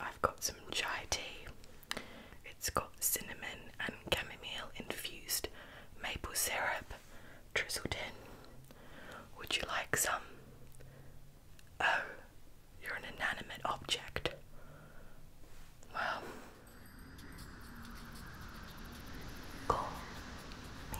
I've got some chai tea. It's got cinnamon and chamomile infused maple syrup drizzled in. Would you like some? Oh, you're an inanimate object. Well, call me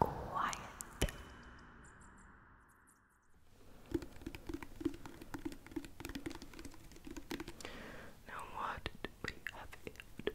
quiet. Now, what did we have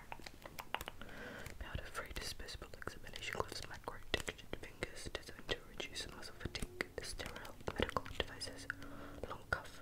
Made of three disposable examination gloves, micro textured fingers designed to reduce muscle fatigue, sterile medical devices, long cuff.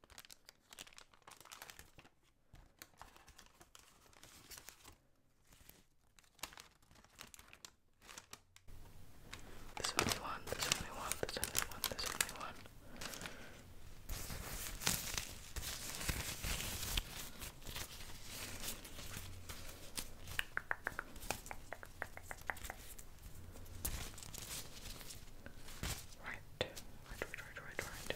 There's only one, there's only one, there's only one, there's only one. Right, right, right, right, right, right. Okay.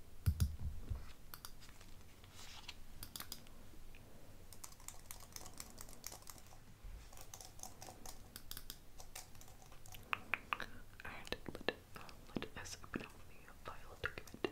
And let, uh, let us open up the file document.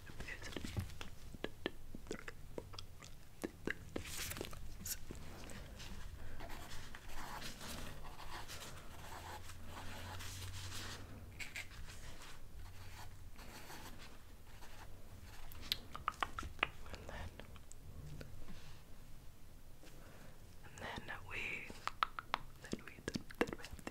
And then, and then we, then we, then we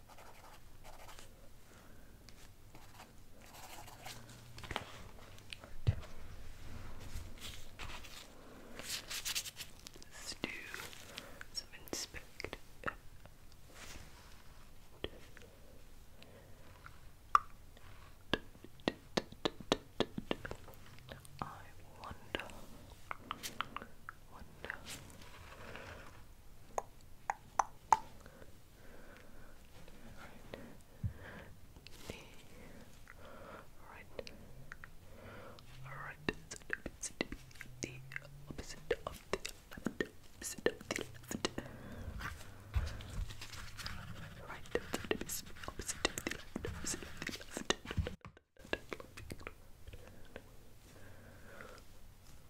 Right. Let's do some inspect. I wonder, knee, right, alright, so it's the opposite of the left, opposite of the left, right, so opposite of the left, opposite of the left,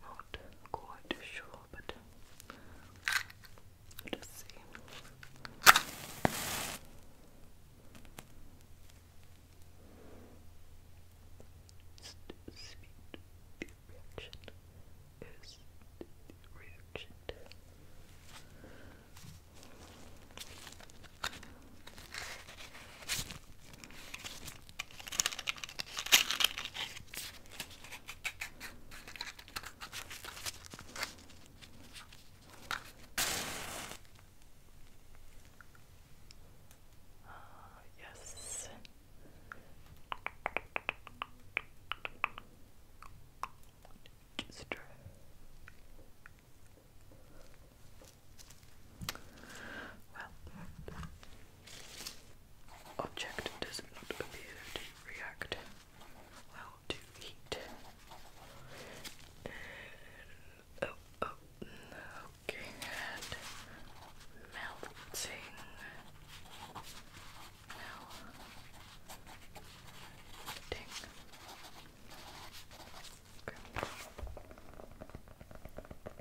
Not quite sure, but let's see. the reaction the reaction. Uh, yes. Just try. Well, Object does not appear to react well to heat. oh, oh, okay, and melting. Melting.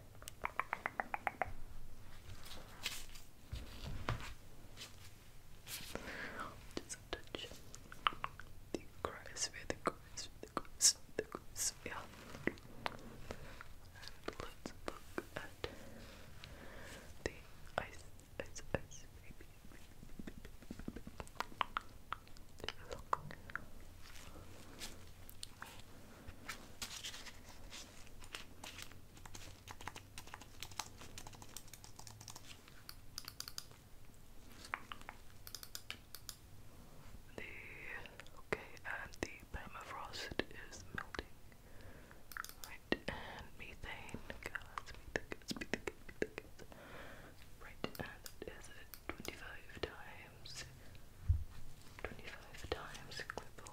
Just touch the crossphere, the crossphere, the the crossphere. And let's look the ice, ice, ice, baby. Look. The okay, and the permafrost is melting. Right, and methane gas, Right, and that is Twenty-five times, twenty-five times.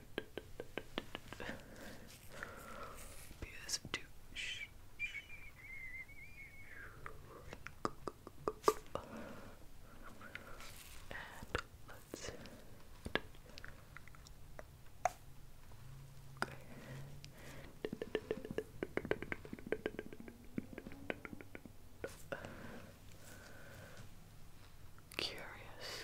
PS2. And let's. Curious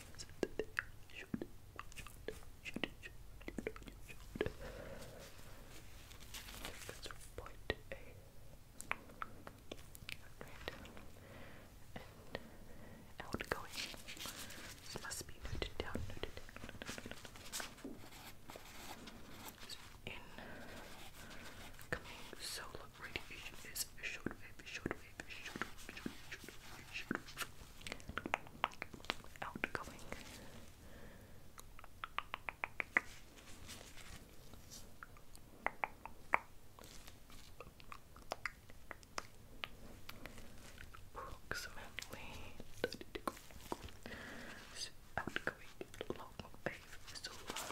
That's point outgoing. This must be noted down, noted down. No, no, no, no. So incoming solar radiation is shortwave, shortwave, shortwave, shortwave, shortwave, outgoing. Approximately Outgoing long wave solar.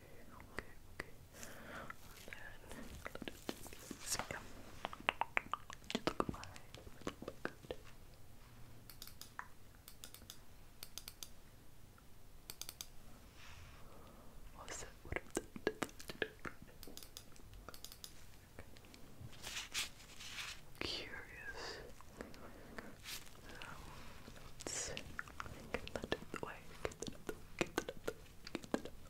okay, okay. then so, yeah. you look at look at my good. What was it? What Curious. Um, let's get that out the way. Get that out Get that out Get that out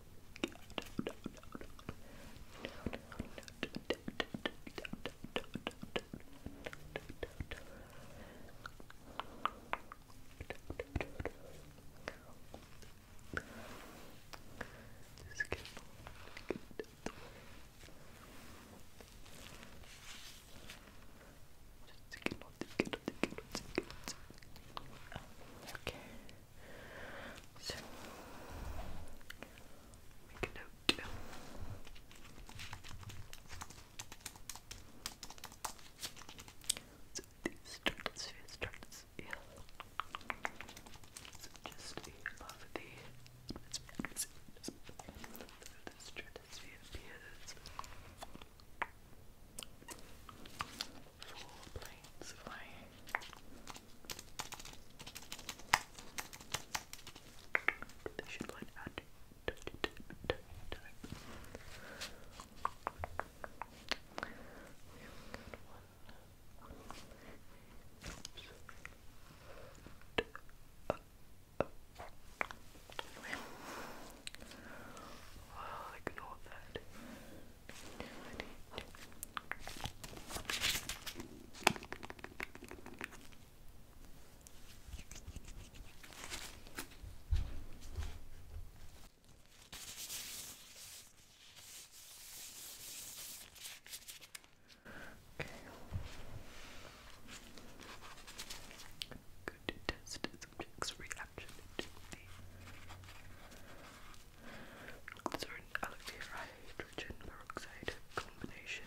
just get Okay. So make a note. So these starts, it starts, yeah. So just above the atmosphere, atmosphere, so the stratosphere appears. Four planes They should like add I'll ignore that. Okay going to test subject's reaction to the glycerin alkyl hydrogen peroxide combination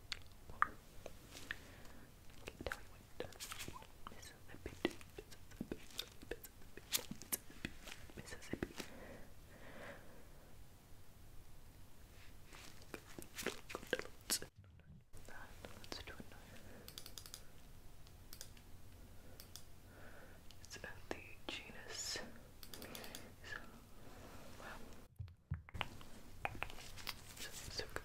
Mississippi, Mississippi, It's the genus. Just so good. Good.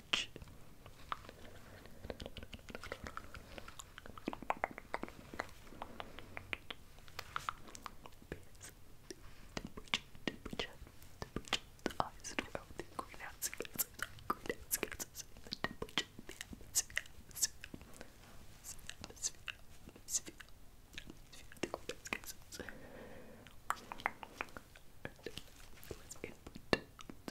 much. Temperature, temperature, the eyes and around the greenhouse gases, greenhouse gases, the temperature, the atmosphere, atmosphere, atmosphere, atmosphere, atmosphere, the greenhouse gases. And let's input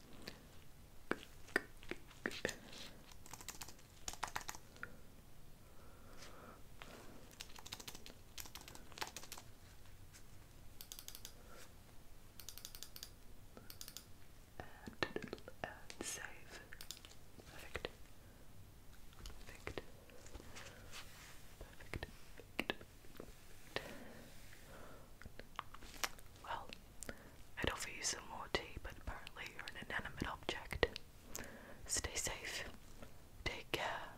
And, and save. Perfect. Perfect. Perfect. Perfect. Well, I'd offer you some more tea, but apparently you're an inanimate object. Stay safe. Take care.